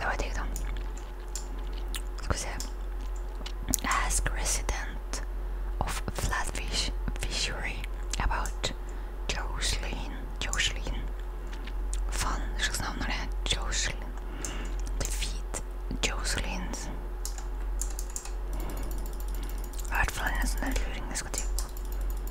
Давайте їх там. Ask resident of Flatfish Fishery about Jocelyn. Jocelyn. Fan, щось знав на Jocelyn. Defeat Jocelyn's. I hvert fall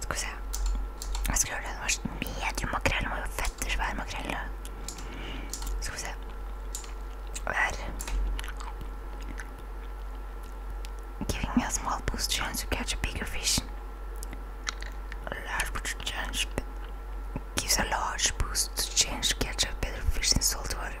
Skal vi se. Jeg skulle gjøre det når mediemakrell var jo fetter svær makrell. Skal vi se Her. Giving a small boost chance to catch a bigger fish. A large chance gives a large boost to change catch a better fish in salt water.